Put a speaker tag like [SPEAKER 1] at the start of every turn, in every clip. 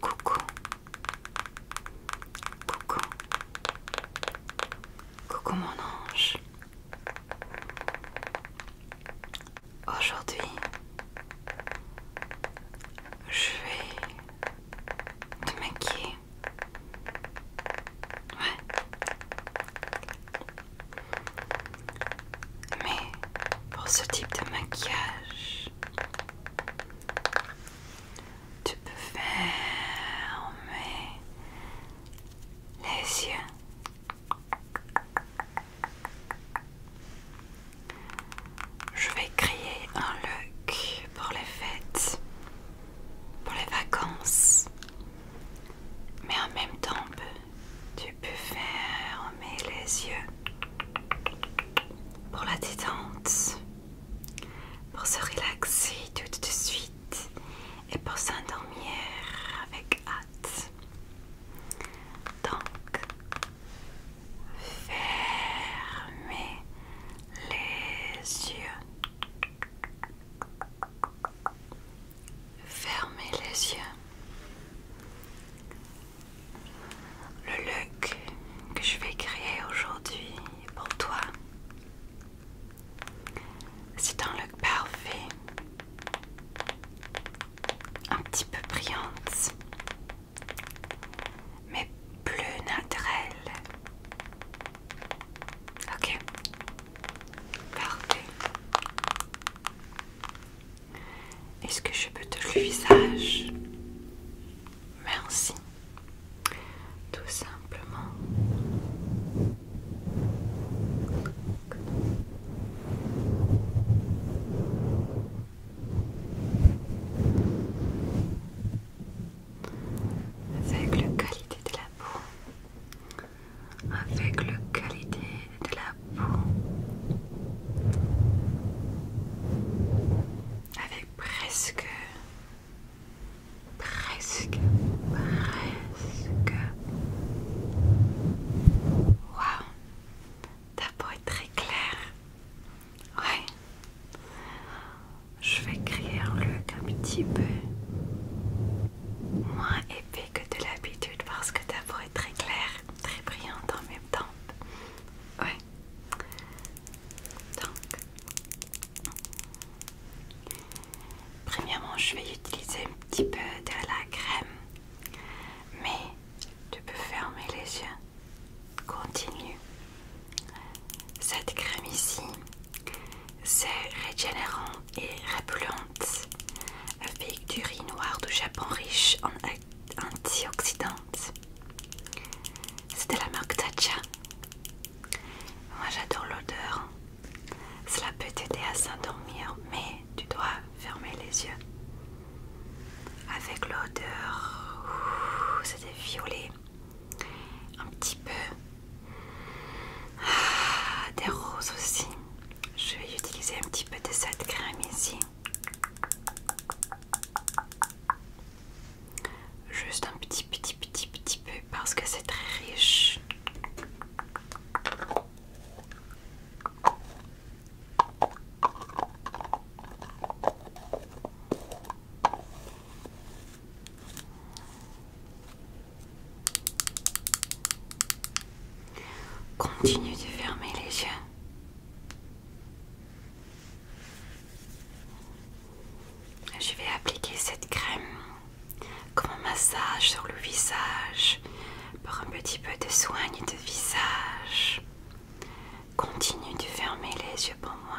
[SPEAKER 1] Coucou. Coucou. Coucou mon ange. Aujourd'hui, je vais te maquiller. Mais pour ce type de maquillage, tu peux fermer les yeux. Je vais créer un look pour les fêtes pour les vacances. Mais en même temps, tu peux fermer les yeux pour la détente, pour se relaxer tout de suite et pour s'endormir avec hâte. Donc, fermez les yeux. Fermez les yeux. Le look que je vais créer aujourd'hui pour toi, c'est un look parfait, un petit peu brillante, mais plus naturel Ok. Parfait. Est-ce que je peux te le visage Merci. Tout simplement avec le qualité de la peau, avec le qualité de la peau, avec presque, presque, presque. Waouh, ta peau est très claire. Ouais je vais créer un look un petit peu moins épais que de l'habitude parce que ta peau est très claire, très brillante en même temps. Ouais. Donc, premièrement, je vais utiliser un petit peu de la crème, mais tu peux fermer les yeux. Continue. Cette crème ici, c'est régénérant et repullante avec du riz noir du Japon riche en antioxydants. C'était la marque Tatcha. Moi j'adore l'odeur. Cela peut t'aider à s'endormir, mais tu dois fermer les yeux. Avec l'odeur, c'était violet un petit peu ah, des roses aussi. Je vais utiliser un petit peu de cette crème ici. Juste un petit, petit, petit, petit peu parce que c'est très riche. Continue de fermer les yeux. Je vais appliquer cette crème comme un massage sur le visage pour un petit peu de soigne de visage. Continue de fermer les yeux pour moi.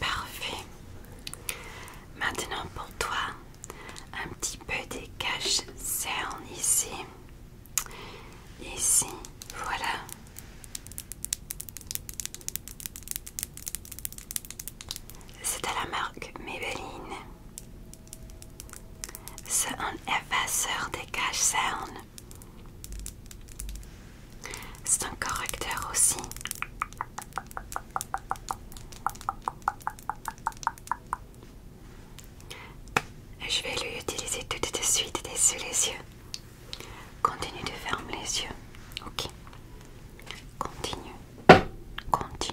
[SPEAKER 1] Parfait. Maintenant pour toi, un petit peu des caches cernes ici. Ici, voilà. C'est à la marque Maybelline. C'est un effaceur des cash sound. C'est un correcteur aussi. Je vais l'utiliser utiliser tout de suite dessus les yeux. Continue de fermer les yeux. Ok. Continue. Continue.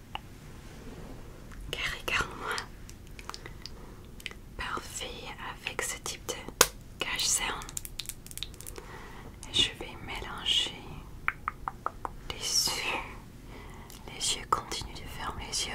[SPEAKER 1] Car regarde-moi. Parfait avec ce type de cache cerne Et je vais mélanger les yeux. Les yeux continuent de fermer les yeux.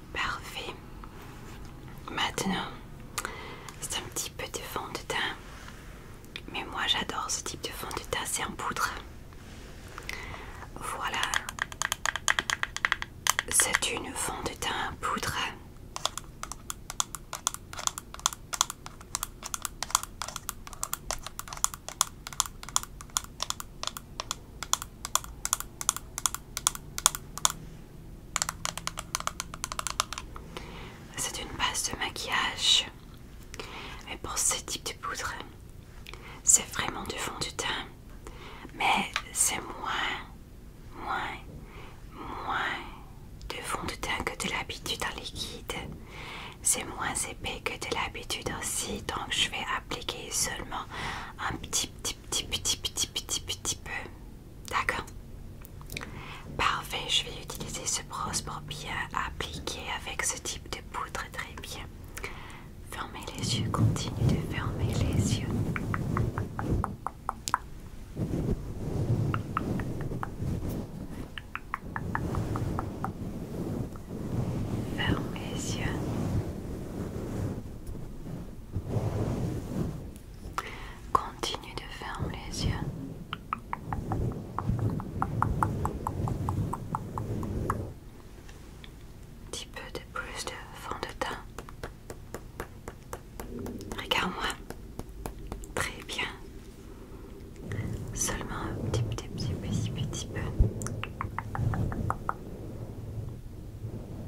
[SPEAKER 1] Parfait. Maintenant, c'est un petit peu de fond de teint. Mais moi j'adore ce type de fond de teint, c'est en poudre. Voilà. C'est une fond de teint en poudre. C'est une base de maquillage, mais pour ce type de poudre, c'est vraiment du fond du teint, mais c'est moins, moins, moins de fond de teint que de l'habitude en liquide. C'est moins épais que de l'habitude aussi, donc je vais appliquer seulement un petit, petit, petit, petit, petit, petit, petit peu. D'accord. Parfait, je vais utiliser ce brosse pour bien appliquer avec ce type de poudre. Très bien. Fermez les yeux, continue de fermer les yeux. Fermez les yeux. Continue de fermer les yeux. Un petit peu de plus de fond de teint. Regarde-moi. Très bien. Seulement un petit, petit, petit, petit, petit peu.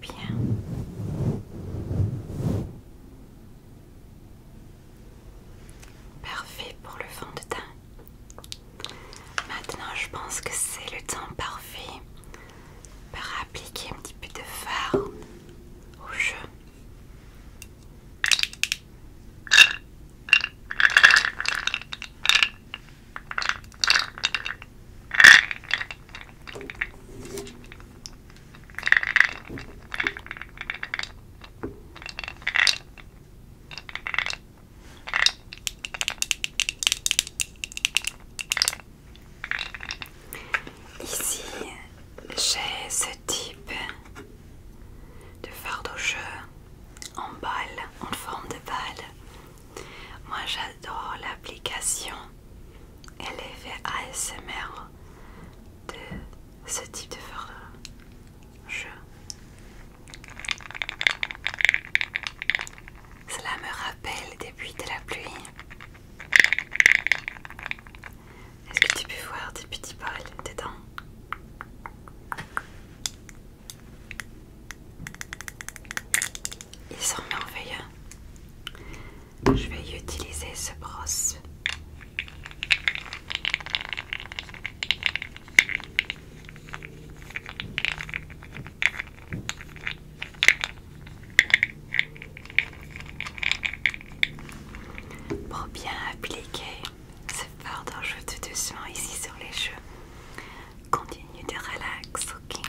[SPEAKER 1] bien. Parfait pour le fond de teint. Maintenant, je pense que c'est le temps parfait pour appliquer un petit peu de fard au jeu. Ici, j'ai ce type de jeu en balle, en forme de balle. Moi j'adore l'application LFA ASMR de ce type de jeu. Cela me rappelle des débuts de la pluie. Est-ce que tu peux voir des petits tes dedans Ils sont merveilleux. Je vais utiliser ce brosse. Pour bien appliquer ce fard je de doucement ici sur les cheveux. Continue de relax, ok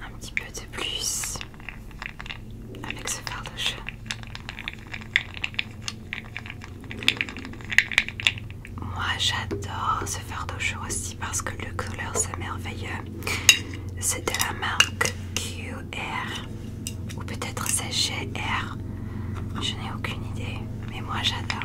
[SPEAKER 1] Un petit peu de plus avec ce fardeau Moi j'adore ce fardeau aussi parce que le couleur c'est merveilleux. C'est de la marque QR ou peut-être c'est GR. Je n'ai aucune idée, mais moi j'adore.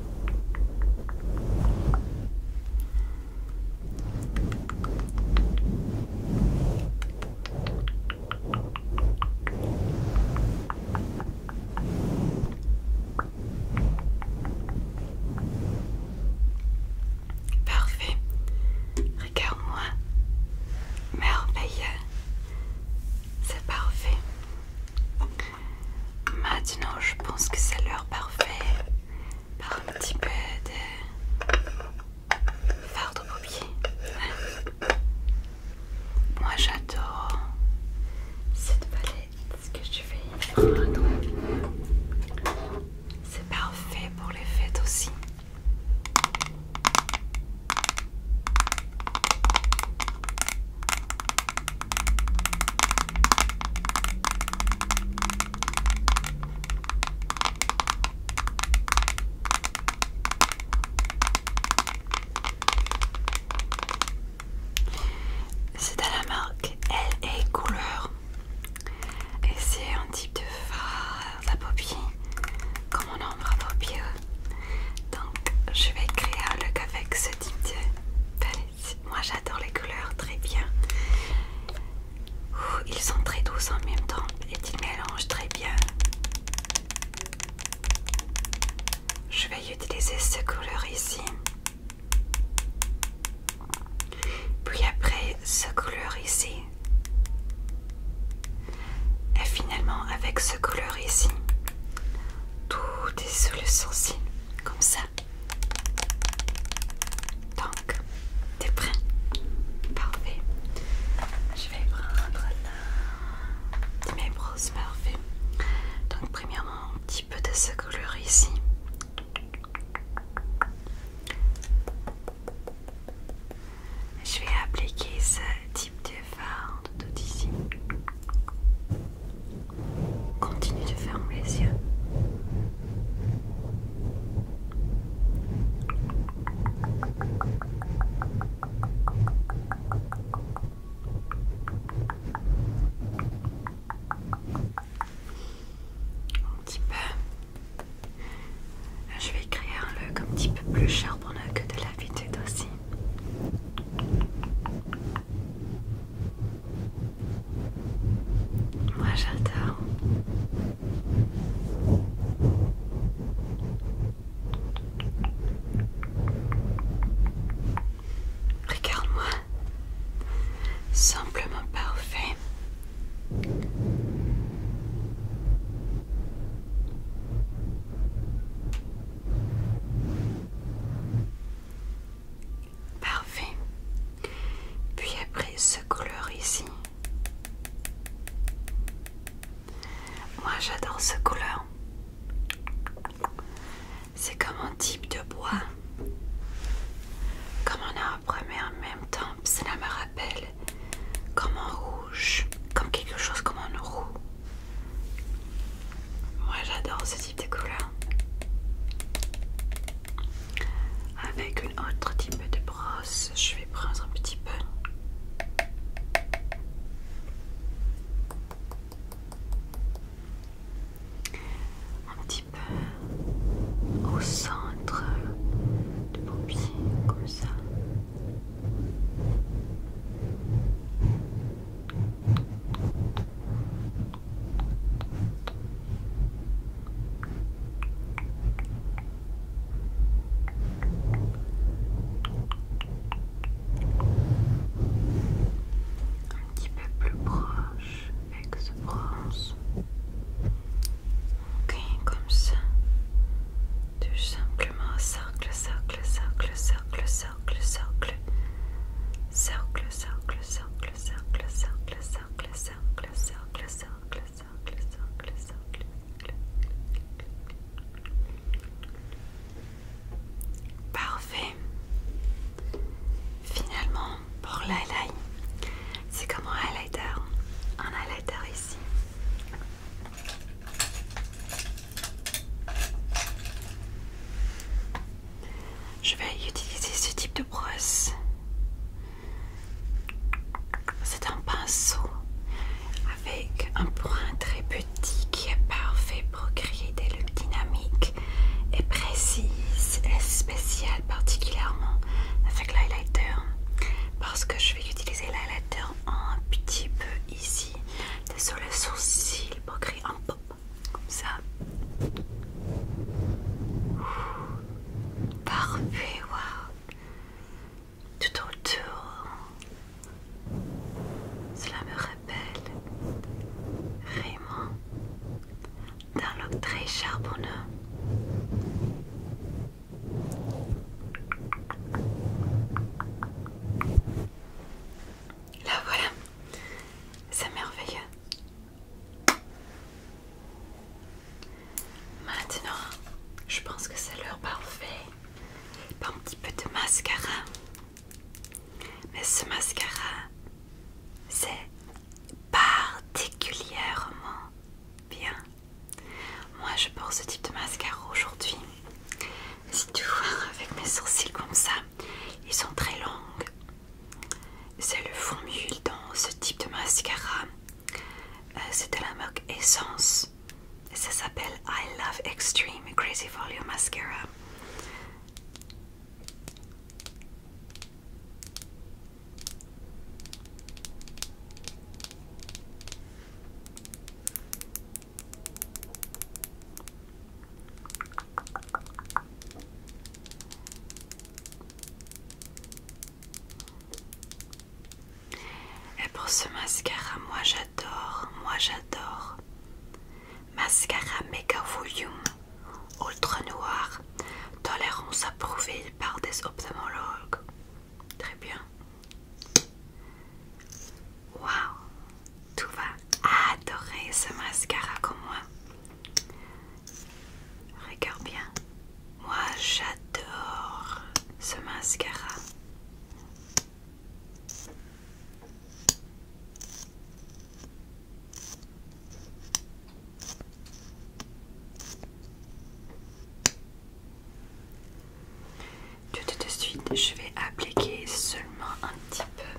[SPEAKER 1] Parfait. Regarde-moi. Merveilleux. C'est parfait. Maintenant, je pense que c'est l'heure parfaite par un petit peu de fardeau paupières. Hein. Moi, j'adore cette palette que je vais C'est parfait pour les fêtes aussi. C'est à la marque LA Couleur et c'est un type de fard à paupiers comme on ombre à paupières. Donc je vais créer un look avec ce type de moi j'adore les couleurs, très bien. ils sont très doux en même temps et ils mélangent très bien. Je vais utiliser ce couleur ici. Puis après, ce couleur ici. Et finalement, avec ce couleur ici, tout est sous le comme ça. Donc, t'es prêt Parfait. Je vais prendre mes brosses, parfait. Donc, premièrement, un petit peu de ce couleur ici. Je vais appliquer ce type de fard tout ici. Continue de fermer les yeux. Un petit peu. Je vais écrire un look un petit peu plus charbonneux que de vitesse aussi. Moi j'adore. Regarde-moi. Simplement parfait. Parfait. Puis après ce couleur ici. Moi j'adore ce couleur. C'est comme un type de bois. Comme un arbre, mais en même temps, cela me rappelle comme un rouge, comme quelque chose comme un roux. Moi j'adore ce type de couleur. Avec une autre type de brosse, je vais prendre un petit peu. Un petit peu au centre de mon pied, comme ça. Un petit peu plus proche avec ce bronze. Ok, comme ça. Tout simplement cercle, cercle, cercle, cercle, cercle cercle, cercle, cercle, cercle, cercle, cercle, cercle, cercle, cercle, cercle, cercle, cercle, cercle, cercle. Parfait. Finalement, pour l'highlight, c'est comme un highlighter, un highlighter ici. Je vais utiliser ce type de brosse. C'est un pinceau avec un point très petit qui est parfait pour créer des looks dynamiques et précises et spéciales particulièrement avec l'highlighter parce que je vais utiliser l'highlighter un petit peu ici sur le sourcil pour créer un peu comme ça. parfait, Tout autour. Cela me rappelle vraiment d'un look très charbonneux. Là voilà, c'est merveilleux. Maintenant, je pense que c'est l'heure parfaite pour un petit peu de mascara. Mais ce mascara, c'est particulièrement bien. Moi, je porte ce type de mascara aujourd'hui si tu vois, avec mes sourcils comme ça, ils sont très longs. C'est le formule dans ce type de mascara. Euh, c'est de la marque Essence. ça s'appelle I Love Extreme Crazy Volume Mascara. Et pour ce mascara, moi j'adore, moi j'adore. Mascara Mega Volume Ultra Noir, tolérance approuvée par des ophtalmologues. Très bien. Waouh, tout va adorer ce mascara comme moi. Regarde bien, moi j'adore ce mascara. Tout de suite, je vais appliquer seulement un petit peu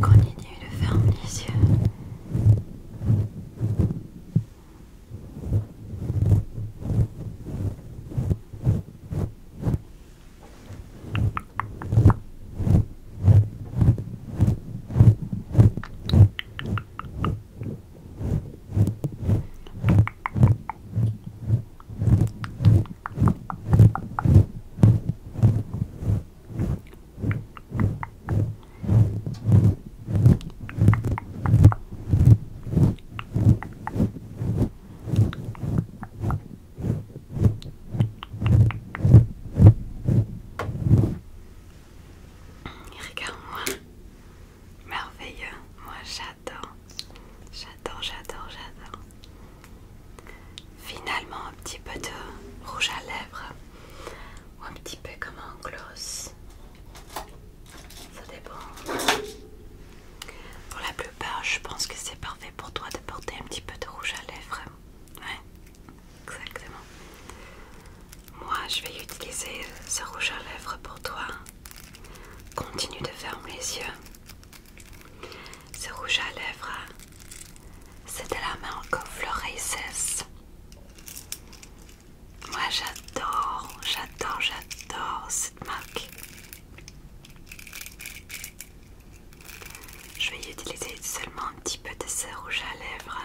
[SPEAKER 1] Continue de fermer les yeux. Regarde-moi, merveilleux, moi j'adore j'adore, j'adore, j'adore, j'adore. Finalement, un petit peu de rouge à lèvres ou un petit peu comme un gloss, ça dépend. Pour la plupart, je pense que c'est parfait pour toi de porter un petit peu de rouge à lèvres. Ouais, exactement. Moi, je vais utiliser ce rouge à lèvres pour toi. Continue de fermer les yeux. Ce rouge à lèvres, c'est de la marque Floresis. Moi j'adore, j'adore, j'adore cette marque. Je vais utiliser seulement un petit peu de ce rouge à lèvres.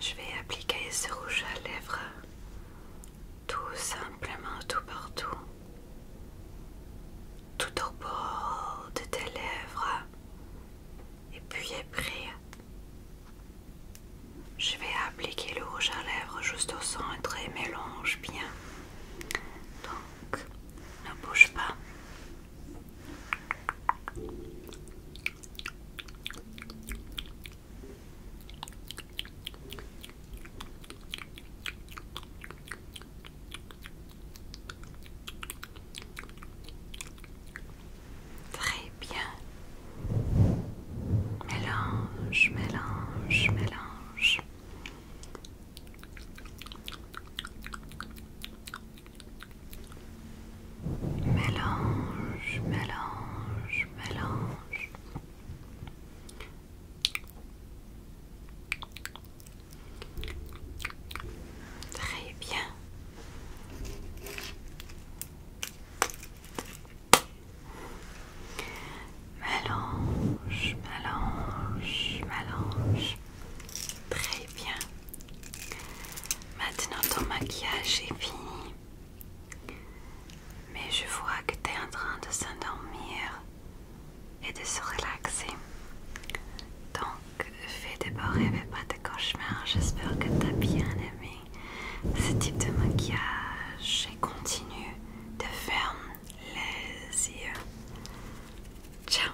[SPEAKER 1] Je vais appliquer ce rouge à lèvres tout simplement tout partout, tout au bord de tes lèvres. Et puis après, je vais appliquer le rouge à lèvres juste au centre et mélange bien. Donc, ne bouge pas. Très bien. Mélange, mélange, mélange. Mélange, mélange, mélange. Très bien. Mélange, mélange, mélange. Très bien. Maintenant ton maquillage est fini. Mais je vois que tu es en train de s'endormir et de se relaxer. Donc fais des beaux rêves et pas de cauchemars. J'espère que tu as bien aimé ce type de maquillage et continue de fermer les yeux. Ciao